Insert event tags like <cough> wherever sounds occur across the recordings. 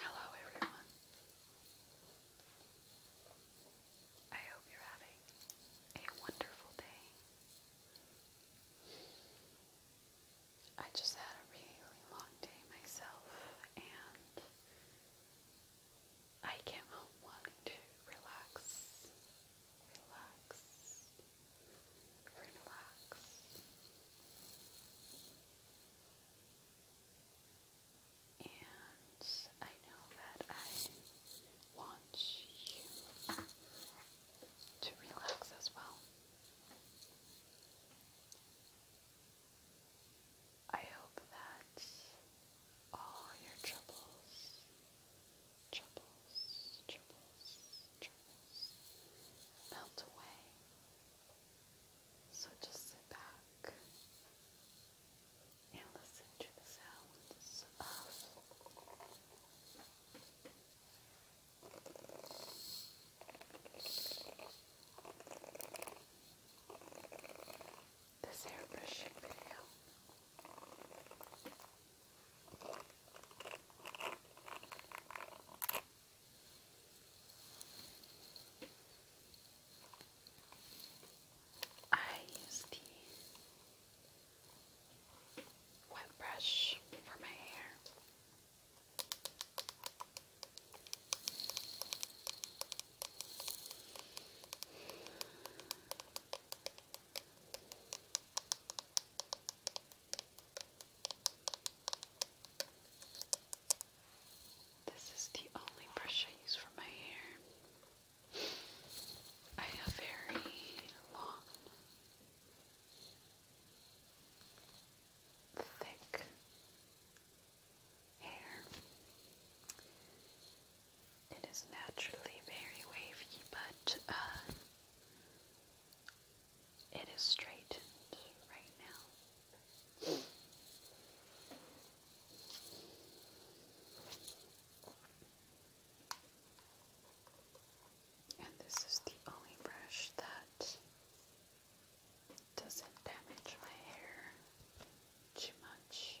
Hello, everyone. I hope you're having a wonderful day. I just had a really long day myself, and I came home wanting to relax, relax, relax. And I know that I want you to relax as well. I hope that all your troubles, troubles, troubles melt away. So just sit back and listen to the sounds of this airbrushing video. I use the wet brush for my hair. This is the only brush I use for my hair. I have very long, thick hair. It is naturally very wavy, but uh, it is straightened right now. And this is the only brush that doesn't damage my hair too much.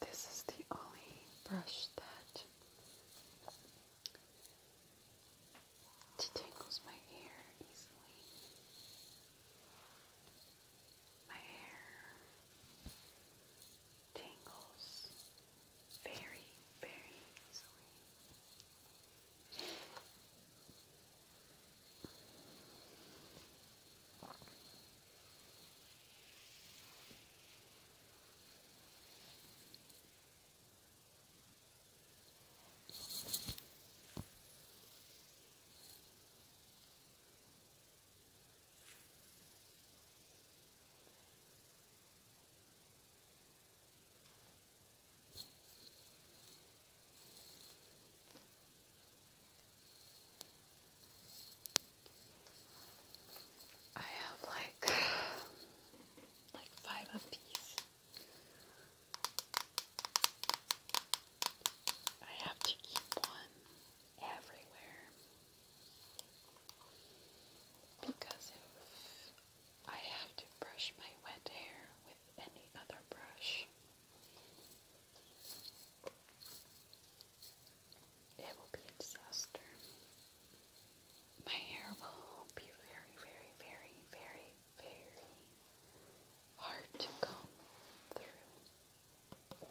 This is the only brush that detangles my hair easily. My hair tingles very, very easily. Very I have like like five of these. I have to keep one everywhere because if I have to brush my wet hair with any other brush. It will be a disaster. My hair will be very, very, very, very, very hard to comb through.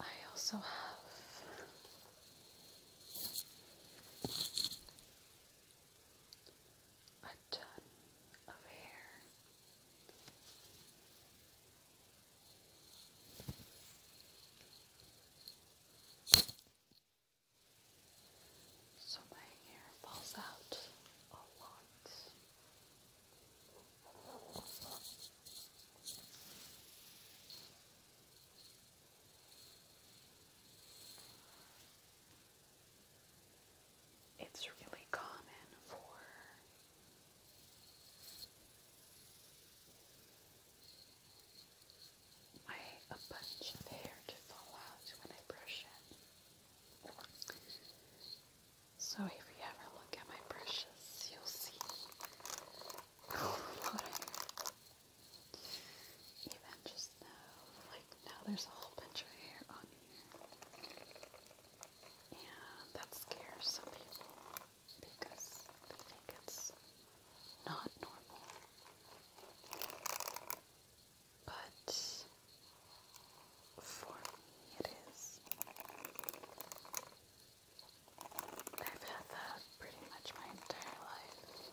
I also have a ton of hair. So my hair falls out a lot. It's really common for a bunch of hair to fall out when I brush it. So if you ever look at my brushes, you'll see <laughs> even just now, like now there's a whole bunch of hair on here. And that scares some people because they think it's not normal. But for me, it is. I've had that pretty much my entire life.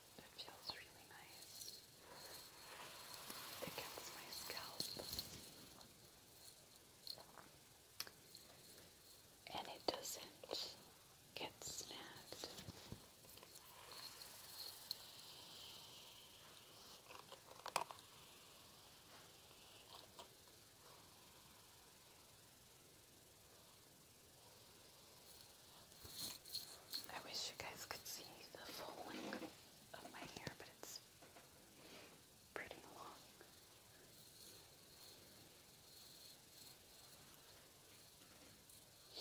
It feels really nice against my scalp. And it doesn't get snagged. I wish you guys could see the full length of my hair, but it's pretty long.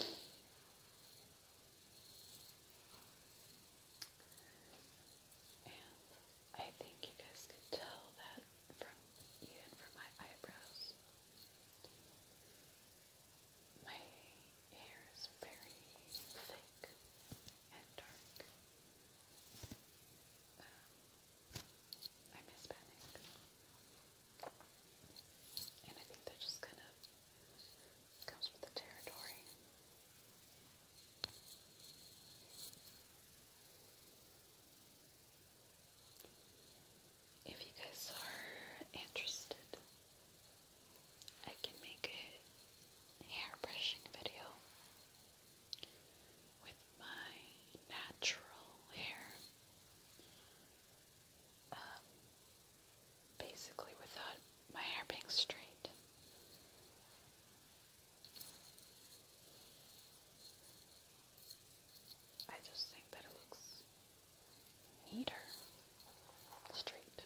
And I think you guys could tell that from even from my eyebrows. My hair is very thick and dark. I'm um, Hispanic. And I think that just kind of comes with the territory if you guys are interested, I can make a hair brushing video with my natural hair. Um, basically without my hair being straight. I just think that it looks Eat her straight.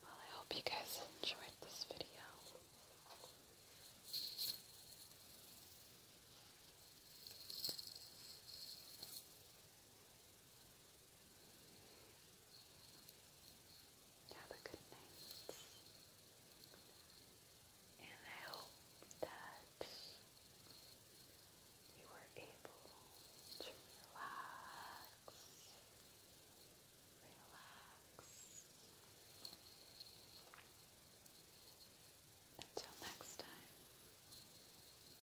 Well, I hope you guys enjoyed this video. Have a good night. And I hope that you were able to relax, relax. Until next time.